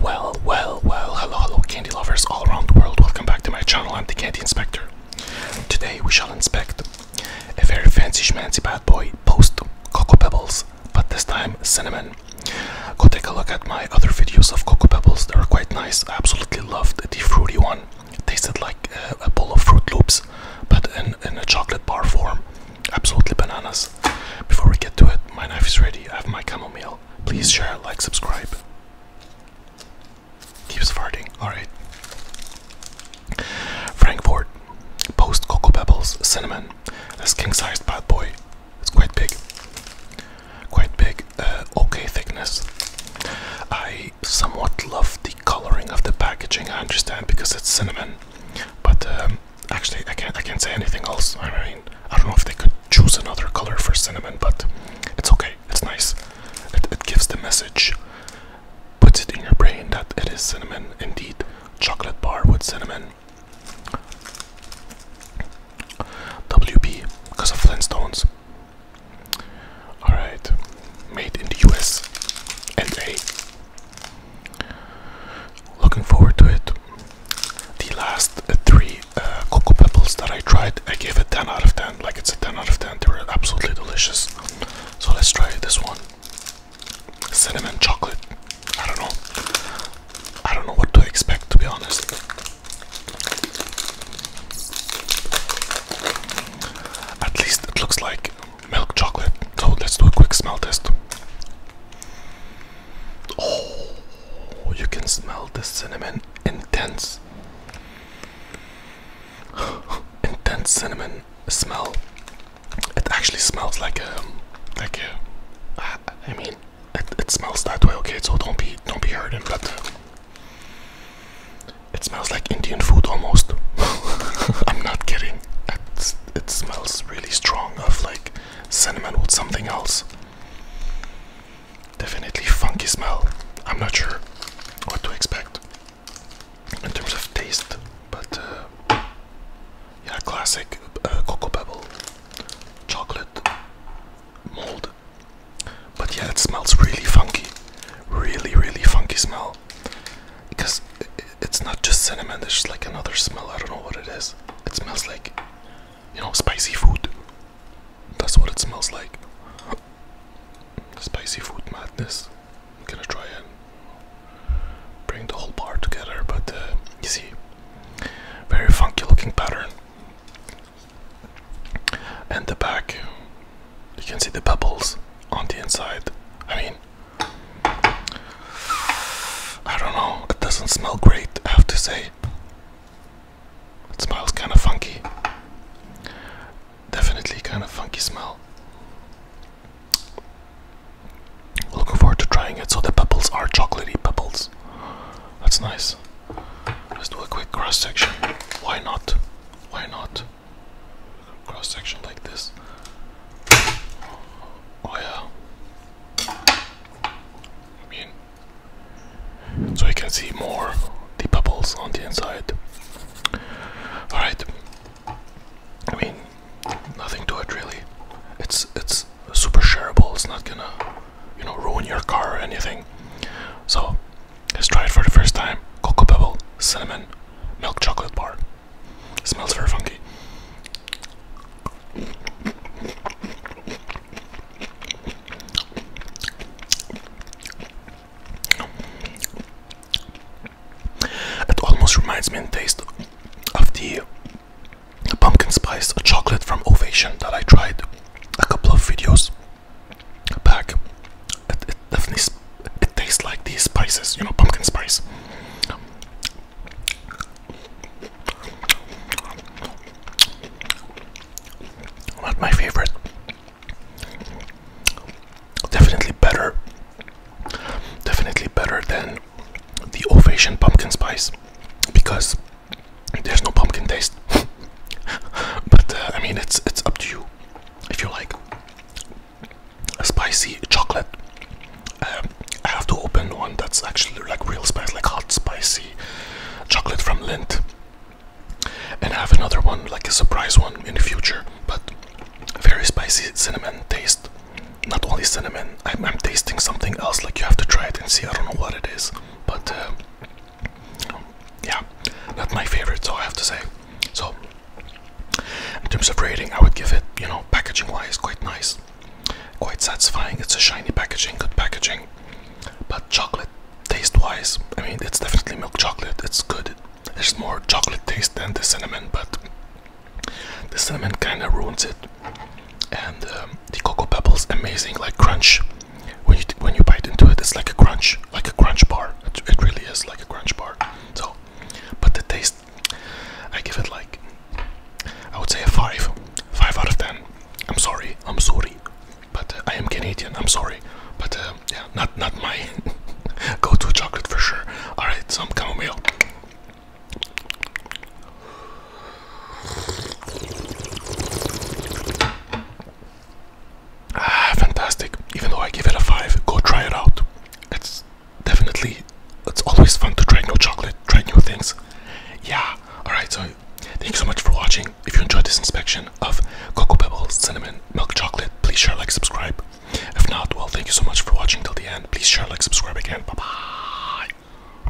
Well, well, well, hello, hello, candy lovers all around the world. Welcome back to my channel. I'm the Candy Inspector. Today we shall inspect a very fancy schmancy bad boy post Cocoa Pebbles, but this time cinnamon. Go take a look at my other videos of Cocoa Pebbles. They are quite nice. I absolutely loved the fruity one. tasted like a, bowl of Fruit Loops, but in a chocolate bar form absolutely bananas. Before we get to it, my knife is ready. I have my chamomile. Please share, like, subscribe. Keeps farting. Alright. Frankfurt. Post Cocoa Pebbles Cinnamon. This king sized bad boy. It's quite big. Quite big. Uh, okay thickness. I somewhat love the coloring of the packaging, I understand, because it's cinnamon. But um, actually, I can't, I can't say anything else. I mean, I don't know if they could choose another color for cinnamon, but it's okay. It's nice. It, it gives the message, puts it in your brain that it is cinnamon. Indeed, chocolate bar with cinnamon. WB because of Flintstones. Alright, made in the US and a Looking forward to it. The last uh, three uh, cocoa pebbles that I tried, I gave a 10 out of 10. Like it's a 10 out of 10. They were absolutely delicious. So let's try this one. Cinnamon chocolate. I don't know. I don't know what to expect to be honest. At least it looks like milk chocolate. So let's do a quick smell test. Oh, you can smell the cinnamon. Intense, intense cinnamon smell. It actually smells like a, um, like a. Uh, I mean, it, it smells that way. Okay, so don't be, don't be hurting, but. Uh, it smells like Indian food almost. I'm not kidding it smells really strong of like cinnamon with something else. Definitely funky smell. I'm not sure what to expect in terms of taste, but uh, yeah, classic uh, cocoa pebble chocolate mold. But yeah, it smells really funky, really, really funky smell. Because it's not just cinnamon, there's just like another smell. I don't know what it is. It smells like, you know, spicy food. That's what it smells like. Spicy food madness. gonna try and bring the whole bar together, but uh, you see, very funky looking pattern. And the back, you can see the bubbles on the inside. I mean, I don't know, it doesn't smell great, I have to say. It smells kind of funky. Definitely kind of funky smell. Looking forward to trying it. So the bubbles are chocolatey bubbles. That's nice. Let's do a quick cross section. Why not? Why not? cross section like this. Oh yeah. I mean, so you can see more the bubbles on the inside. All right. I mean, nothing to it really. It's it's super shareable. It's not gonna, you know, ruin your car or anything. So Let's try it for the first time. Cocoa bubble, cinnamon, milk chocolate bar. Smells very funky. It almost reminds me in taste of the pumpkin spice chocolate from Ovation that I tried a couple of videos bag. It, definitely it tastes like these spices, you know, pumpkin spice. Not my favorite. Definitely better. Definitely better than the Ovation pumpkin spice because there's no pumpkin taste, but uh, I mean it's it's up to you if you like a spicy chocolate. Um, I have to open one that's actually like real spice, like hot spicy chocolate from Lindt, and have another one like a surprise one in the future, but very spicy cinnamon taste. Not only cinnamon, I'm, tasting something else. Like you have to try it and see. I don't know what it is, but. Uh, yeah, not my favorite, so I have to say. So, in terms of rating, I would give it, you know, packaging wise, quite nice, quite satisfying. It's a shiny packaging, good packaging, but chocolate taste wise, I mean, it's definitely milk chocolate, it's good. There's more chocolate taste than the cinnamon, but the cinnamon kind of ruins it. And um, the cocoa pebbles amazing like crunch when you when you bite into it it's like a crunch like a crunch bar it, really is like a crunch bar so but the taste i give it like i would say a 5 5 out of 10 i'm sorry i'm sorry but uh, i am canadian i'm sorry but uh, yeah not not my go-to chocolate for sure all right some chamomile Ah, fantastic. Even though I give it a 5, go try it out. It's definitely, it's always fun to try new chocolate, try new things. Yeah, alright, so thank you so much for watching. If you enjoyed this inspection of Cocoa Pebbles Cinnamon Milk Chocolate, please share, like, subscribe. If not, well, thank you so much for watching till the end. Please share, like, subscribe again. Bye bye.